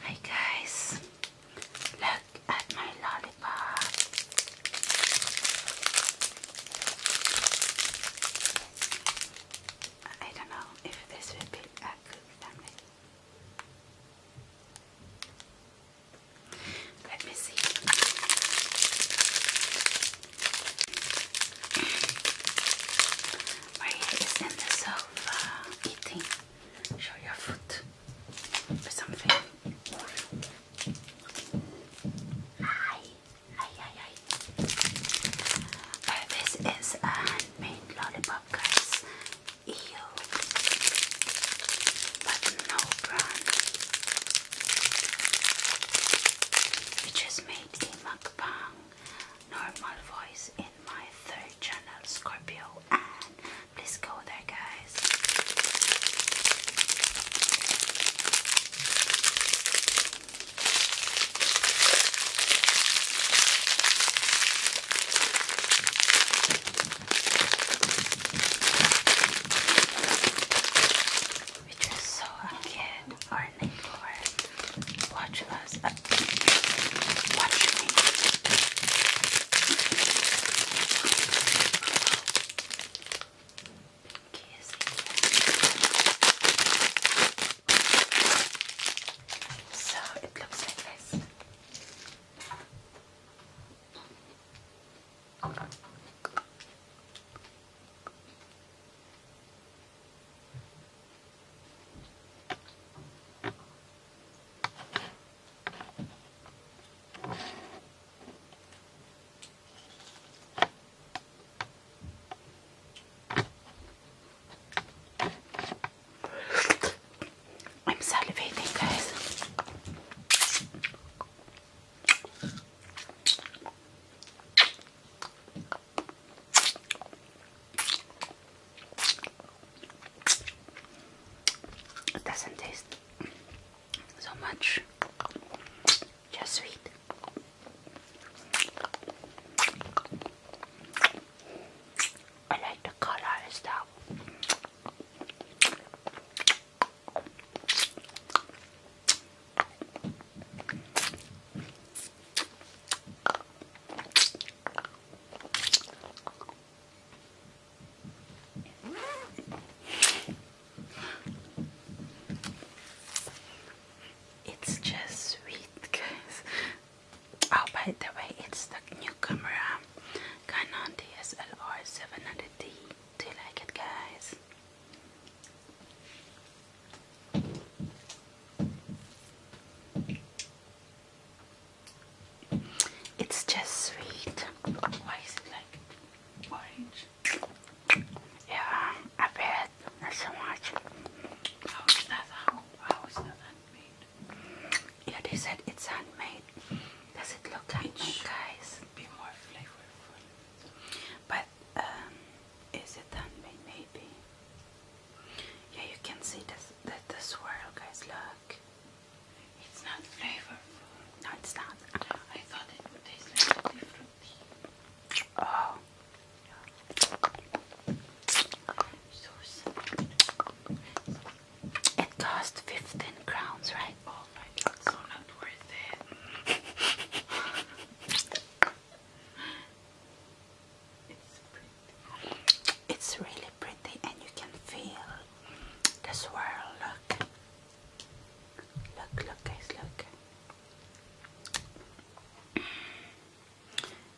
Hi guys, look at my lollipop. I don't know if this will be a good family. Let me see. Maria is in the sofa eating. Show your foot or something. Hi, hi, hi, hi. Uh, this is a handmade lollipop, guys. Ew, but no brand. It just made a mukbang normal voice my third channel, Scorpio, and please go there, guys. Which is so cute, our needlework. Watch us. Uh, watch me. So it looks like this. I'm salivating, guys. It doesn't taste so much, just sweet. I like the color and stuff. It's just sweet, guys. Oh, by the way, it's the new camera um, Canon DSLR 700D. Do you like it, guys? It's just sweet. Why is it like orange? Yeah, I bet. Not so much. How is that? how is that handmade? Yeah, they said it's handmade. Does it look like guys? Be more flavorful. But um, is it handmade? Yeah, you can see this, the, the swirl, guys. Look. It's not flavorful. No, it's not. I thought it would taste like different Oh. It cost 15 crowns, right? Oh my god, so not worth it. it's pretty. It's really pretty and you can feel the swirl. Look. Look, look guys, look.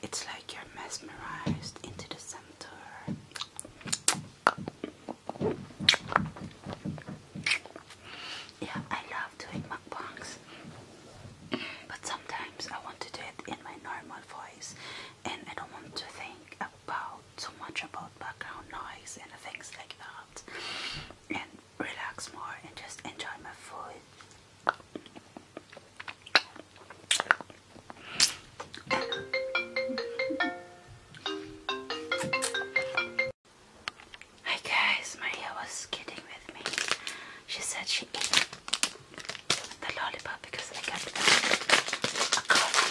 It's like you're mesmerized into the center. Yeah, I love doing mukbangs but sometimes I want to do it in my normal voice and I don't want to think about too much about background noise and things like that and relax more and just enjoy my food Hi guys, Maria was kidding with me. She said she the lollipop because I got a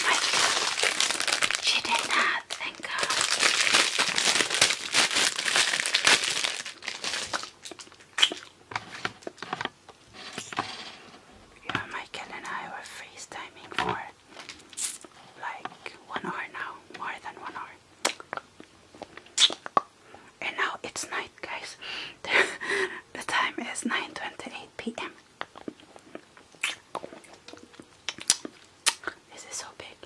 my friend. She did not, thank God. Yeah, Michael and I were FaceTiming for like one hour now, more than one hour and now it's night guys the time is 9:28 p.m. This is so big.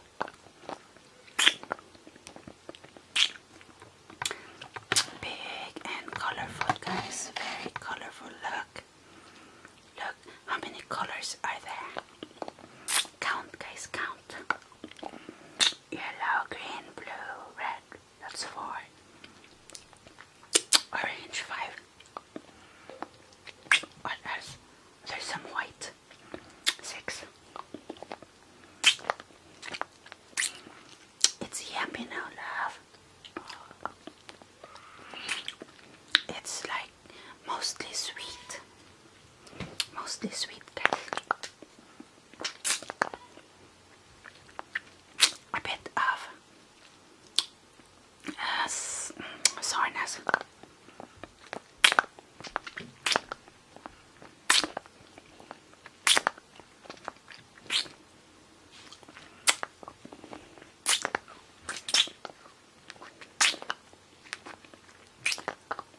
Big and colorful guys. Very colorful look. Look how many colors are there. Count guys count yellow, green, blue, red. That's four. Orange, five. What else? There's some white. Six. It's yummy now, love. It's like mostly sweet. Mostly sweet cake a bit of uh, soreness.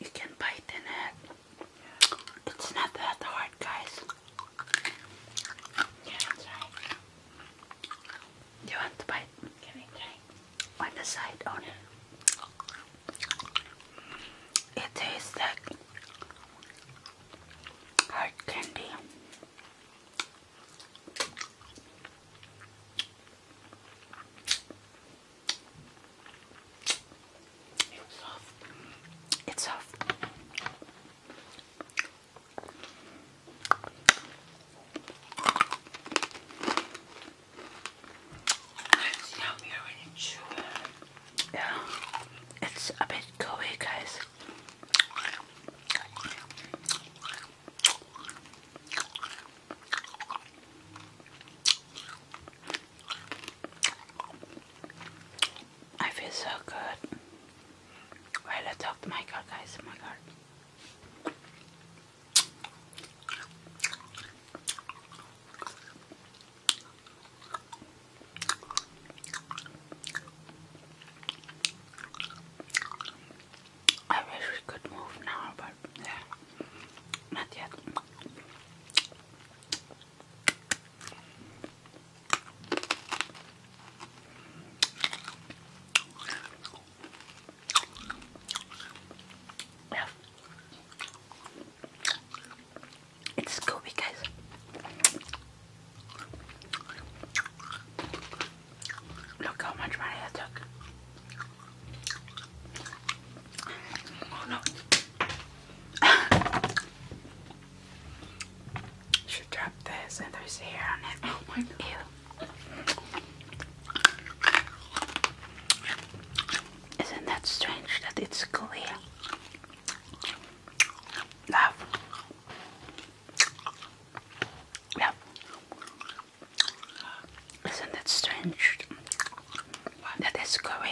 you can bite in it. It's not that hard, guys. You want to bite? Can I On the side, on it. It tastes like hard candy. It's soft. It's soft. Yeah. It's a bit gooey guys. I feel so good. Well, I talk to oh my God, guys. Oh my God. I wish we could move now, but yeah. Not yet. Yeah. It's Scooby, guys. Look how much money I took. Oh no. Should drop this and there's hair on it. Oh Ew. Isn't that strange that it's clear? Love. Yeah. Isn't that strange? That is curry.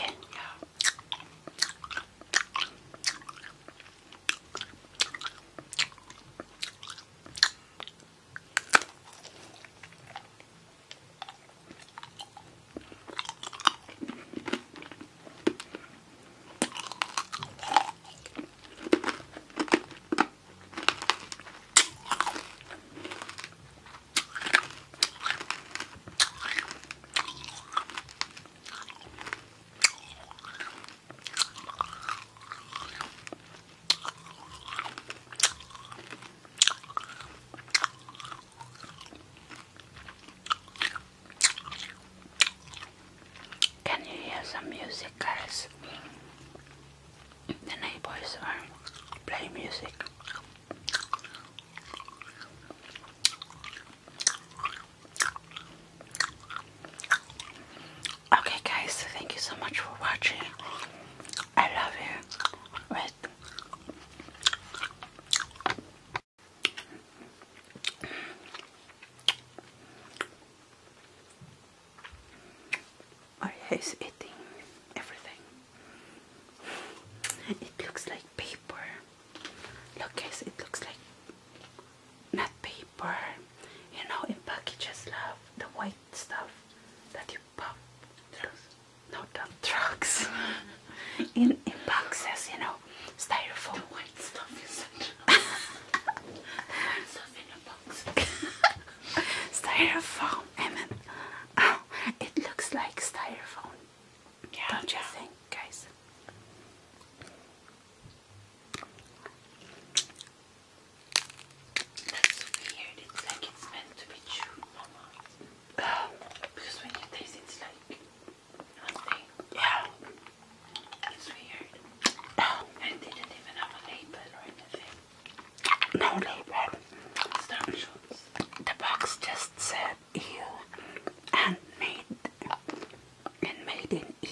Can you hear some music, guys? The neighbors are playing music. Okay, guys, thank you so much for watching. I love you. With or he's eating everything. It looks like paper. Look guys, it looks like not paper. You know, in packages, love, the white stuff that you pop drugs. No, not drugs. in, in boxes, you know, styrofoam. white stuff Stuff in a styrofoam, Emin. Oh, it looks like styrofoam. Don't you think, guys? That's weird. It's like it's meant to be chewed, Because when you taste it, it's like nothing. Yeah. It's weird. Oh. I didn't even have a label or anything no label. The box just said you and made and made in EU.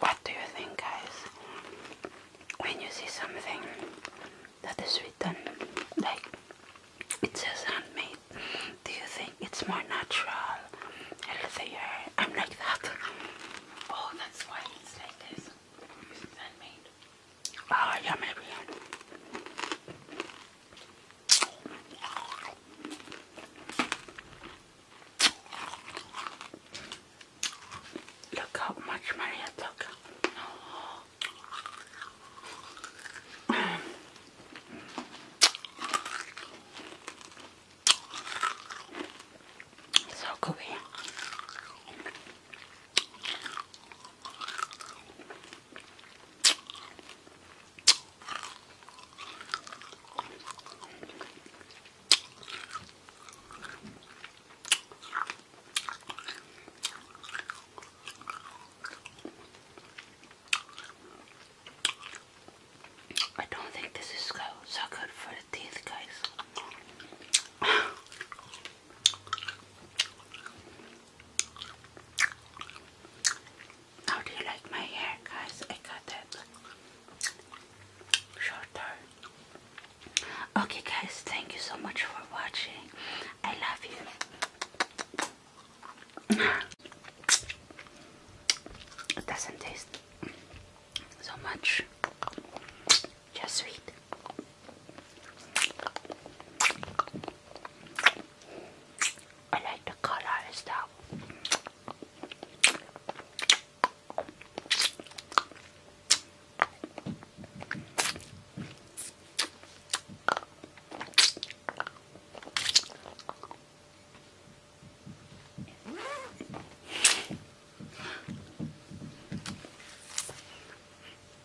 What do you think, guys? When you see something that is written like it says handmade, do you think it's more natural, healthier? I'm like that. Oh, that's why it's like this. It's handmade. Ah, yeah, maybe. Look how much money I took. So gooey. I don't think this is so, so good for the teeth, guys. How do you like my hair, guys? I cut it shorter. Okay, guys, thank you so much for watching. I love you. It doesn't taste so much, just sweet. I like the color and stuff.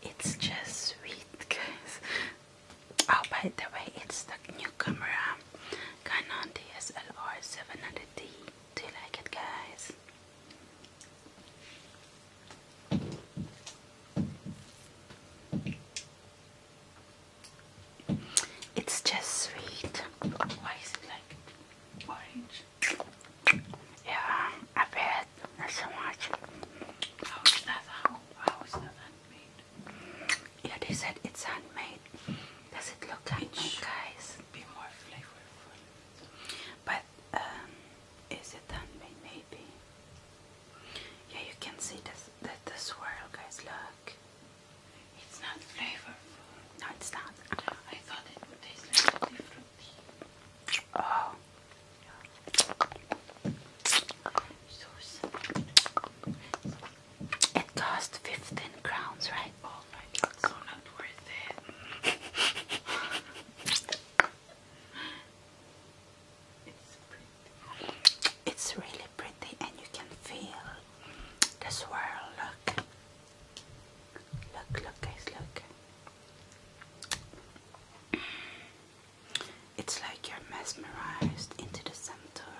It's just sweet, guys. Oh, by the way, it's the new camera um, Canon DSLR 700D. Do you like it, guys? It's just sweet. Why is it like orange? Yeah, I bet. Not so much. Yeah, they said it's handmade. Does it look handmade, it guys? But um, is it handmade? Maybe. Yeah, you can see this, the, the swirl, guys. Look. It's not flavorful. No, it's not. I thought it would taste a little different tea. Oh. It costs 15 crowns, right? Oh my god, so not worth it. it's pretty. It's really pretty and you can feel the swirl, look. Look, look guys, look. It's like you're mesmerized into the center.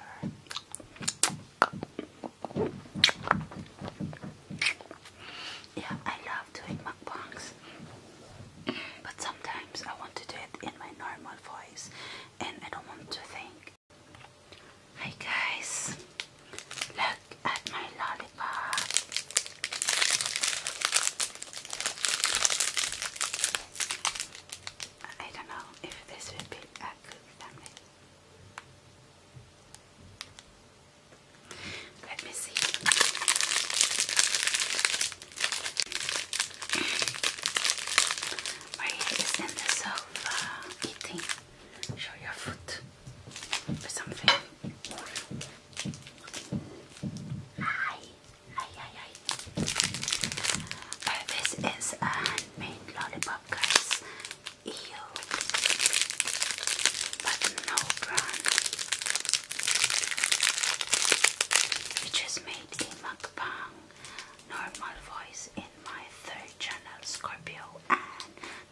Yeah, I love doing mukbangs, but sometimes I want to do it in my normal voice and I don't want to think. Hi guys, look at my lollipop. I don't know if this would be a good family. Let me see. Maria in the sofa eating. Show your foot or something. Hi this is a handmade lollipop, guys. Ew. But no brand. Which is made in Mukbang. Normal voice in my third channel, Scorpio.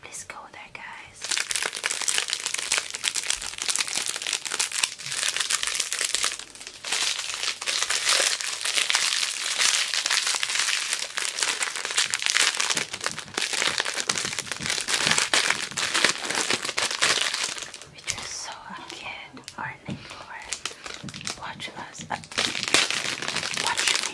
please go there, guys. Which just so a kid or an introvert. Watch us. Uh, watch me.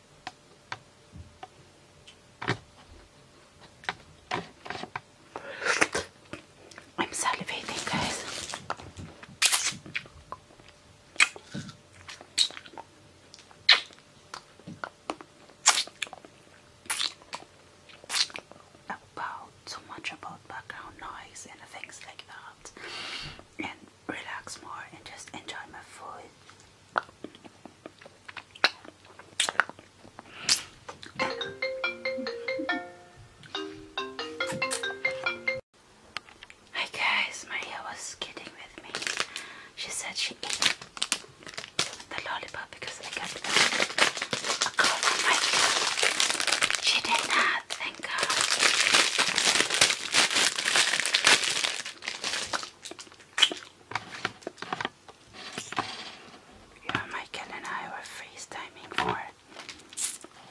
I'm salivating, guys. About so much about background noise and things like that, and relax more and just enjoy my food. Hi guys, Maria was kidding with me. She said she ate the lollipop because I got a, She did not, thank God. Michael and I were FaceTiming for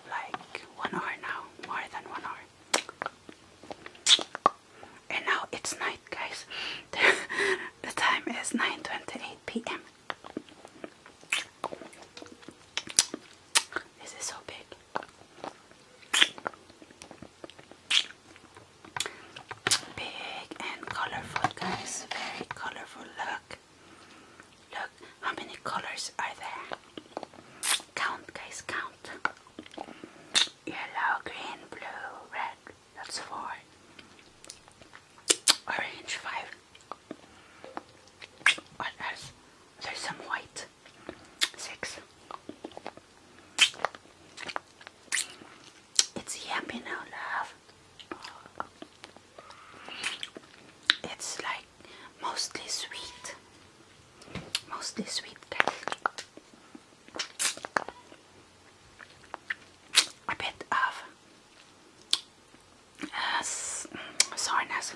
like one hour now, more than one hour. And now it's night, guys. the time is 9:28 p.m. This is so big. Big and colorful, guys. Very colorful. Look. Look how many colors are there. Count, guys, count. Yellow, green, blue, red. That's four. Orange, five. What else? There's some white. Six. It's yummy now, love. It's like mostly sweet, mostly sweet cake. A bit of uh, mm, soreness.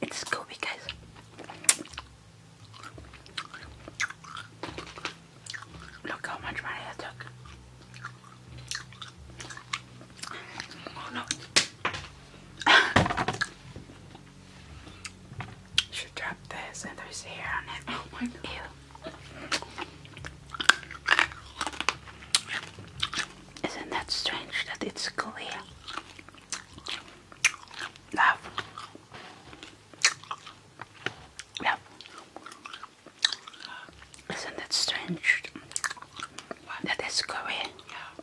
It's Scooby, guys. Look how much money I took. Oh no. Should drop this and there's hair on it. Oh my god. Isn't that strange that it's clear? Love. Love. Isn't that strange? That is curry. Yeah.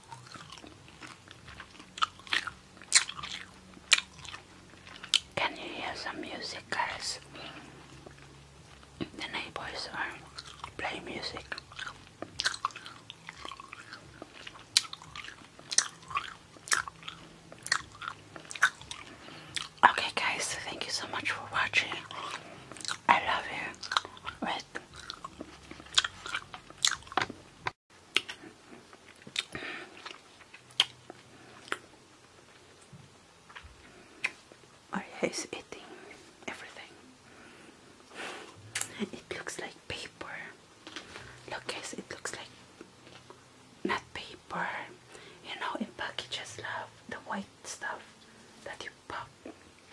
Can you hear some music, guys? The neighbors are playing music. Okay, guys, thank you so much for watching. I love you. Wait. I hate eating everything. It looks like paper. Look guys, it looks like not paper. You know in packages love the white stuff that you pop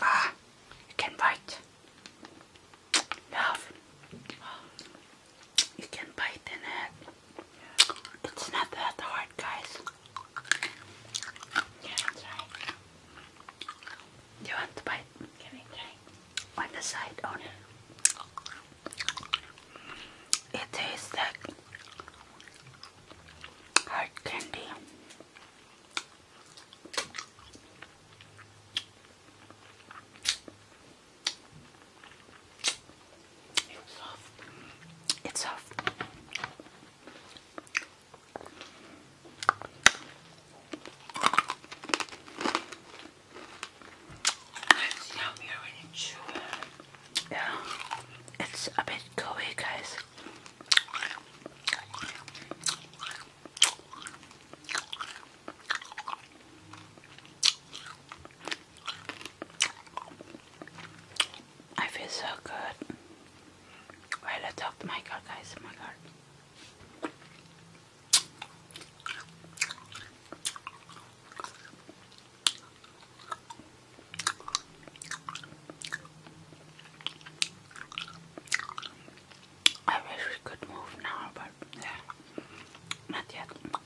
Ah, you can bite. Love. You can bite in it. It's not that hard, guys. Yeah, that's right. You want to bite? side. the side on oh, it. It tastes like hard candy. It's soft. It's soft. It's Yeah, it's a bit gooey, guys. I feel so good. Well, I talk to my god, guys. My god. I wish we could move now, but yeah, not yet.